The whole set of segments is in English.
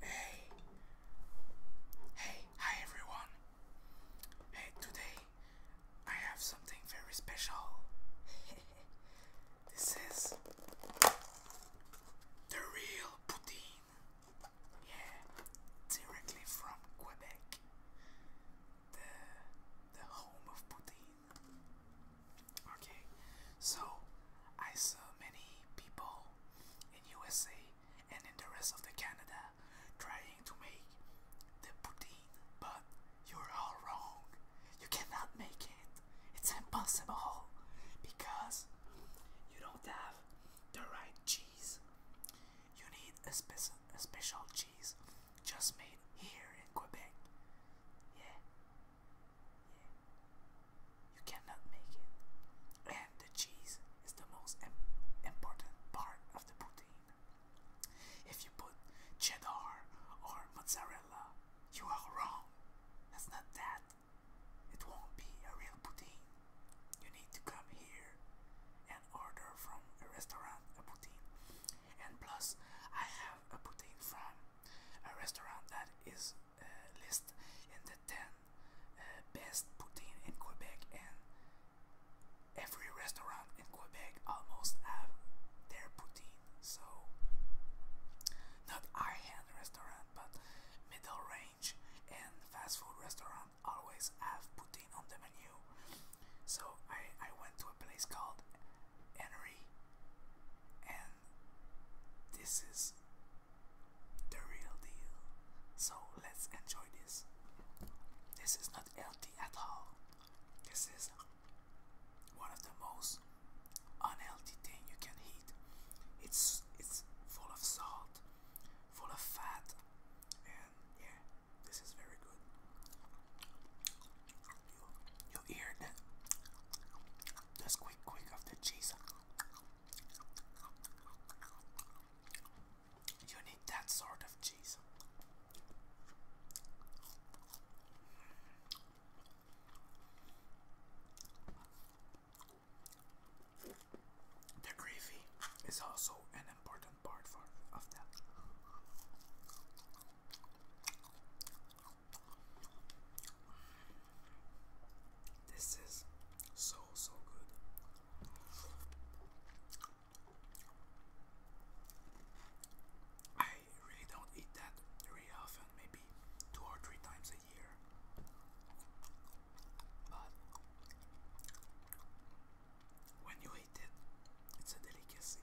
Hey, hey, hi everyone. Hey, today I have something very special. this is the real poutine. Yeah, directly from Quebec, the the home of poutine. Okay, so I saw many people in USA and in the rest of the Canada trying to make the poutine, but you're all wrong. You cannot make it. It's impossible because you don't have the right cheese. You need a, spe special cheese just made here in Quebec. Yeah, yeah. You cannot make it. And the cheese is the most important part of the poutine. If you put cheddar or mozzarella, you are wrong. That's not that. It won't be a real poutine. You need to come here and order from a restaurant a poutine. And plus, I have a poutine from a restaurant that is uh, list in the 10 uh, best poutine in Quebec and every restaurant in Quebec almost have their poutine so not high-end restaurant but middle range and fast food restaurant always have poutine on the menu so I, I went to a place called Henry this is the real deal. So let's enjoy this. This is not healthy at all. This is one of the most unhealthy thing you can eat. It's it's full of salt, full of fat, and yeah, this is very good you hear the, the squeak quick of the cheese. You need that sort of cheese. The gravy is also an important part for, of that. This is so, so good. I really don't eat that very often, maybe two or three times a year. But when you eat it, it's a delicacy.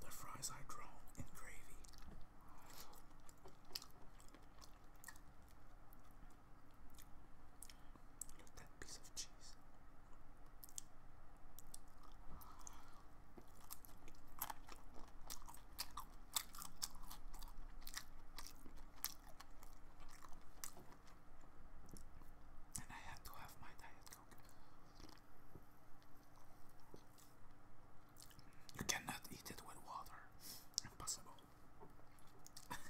The fries I draw in gravy. Look at that piece of cheese. And I had to have my diet coke. You cannot eat it with water. Impossible.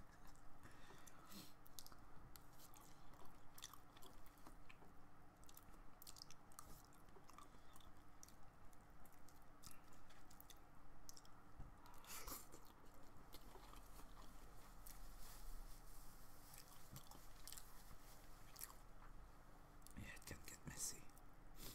Yeah, it can get messy a bit.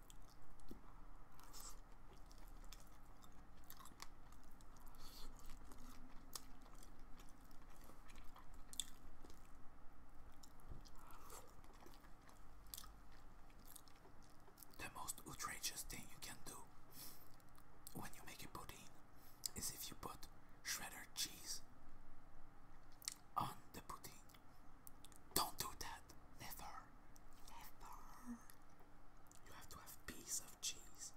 The most outrageous thing you can do when you make a pudding is if you put shredded cheese on the pudding. Don't do that. Never. Never. You have to have piece of cheese. yeah.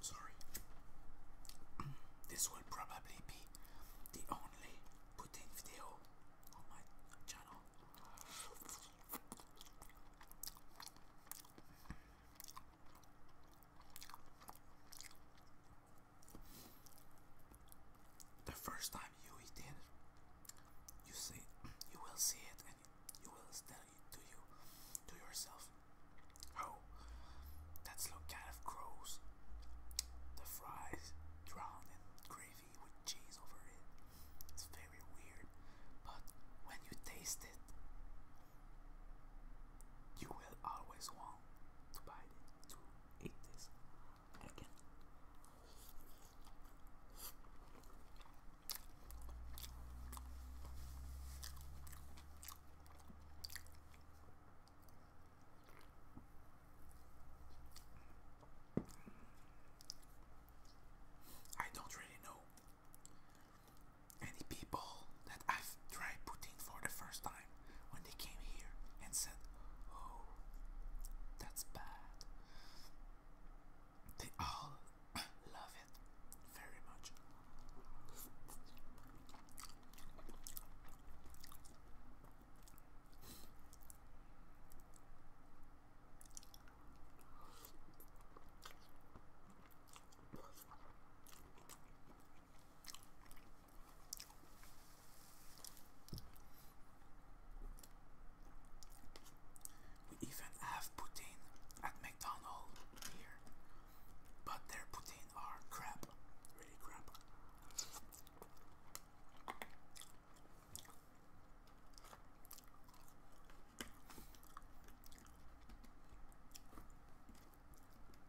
Sorry. this will probably be the only pudding video on my channel. The first time you eat it, you see, you will see it, and you will tell it to you, to yourself, oh, that's look kind of gross. The fries drowned in gravy with cheese over it. It's very weird, but when you taste it, you will always want to buy it, to eat this again. I don't really know any people that I've tried putting for the first time when they came here and said, Oh, that's bad. They all love it very much. We even have poutine at McDonald's here, but their poutine are crap, really crap.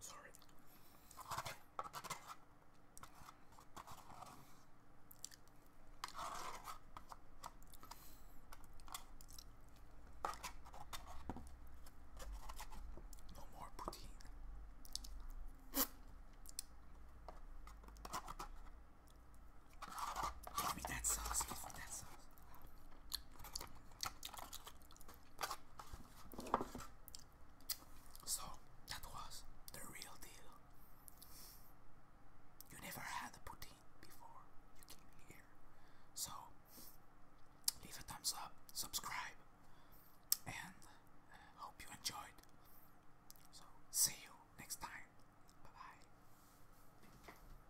Sorry. No more poutine. Give me that sauce, give me that sauce. So that was the real deal. You never had a poutine before you came here. So leave a thumbs up, subscribe, and uh, hope you enjoyed. So see you next time. Bye bye.